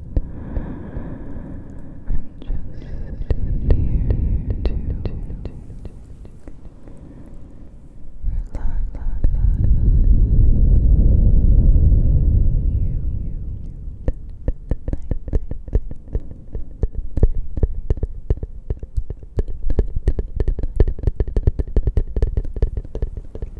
I'm just here to relax you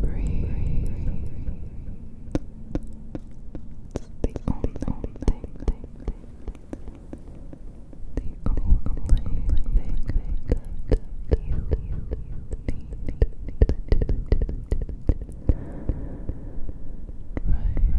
Breathe. It's the only thing, thing, thing. The only thing that you need to do. Right now.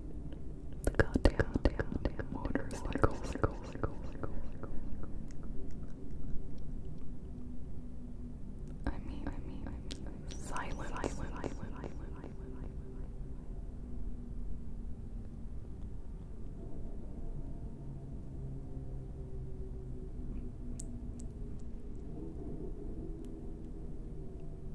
The goddamn, goddamn motorcycle, I mean, silent.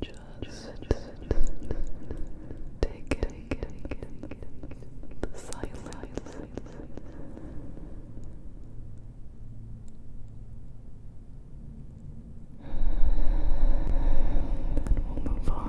Just, just take it, silence. Then we'll move on.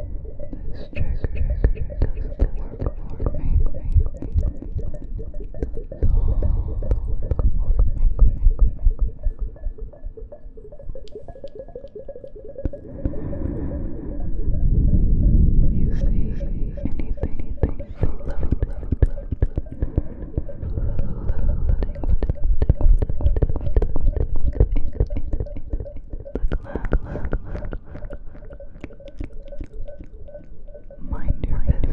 This trigger does the work for me. Make, make, make. All the work for me. If you see anything, anything, love, love, love, love, love, love, love, love, love, Mind your business.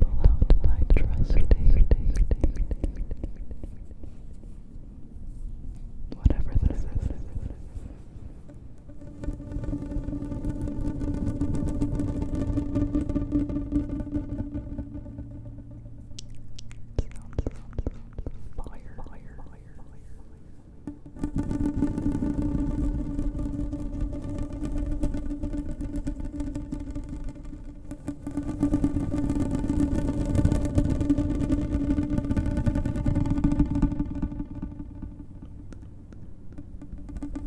pull out my trusty, whatever this is. Thank you Fire, fire, fire, fire, fire.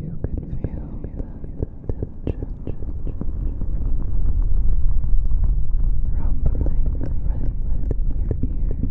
You can feel that tension rumbling right in your ears.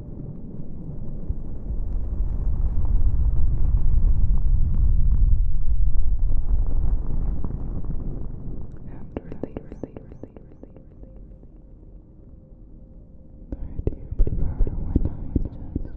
And release. Or do you prefer when I just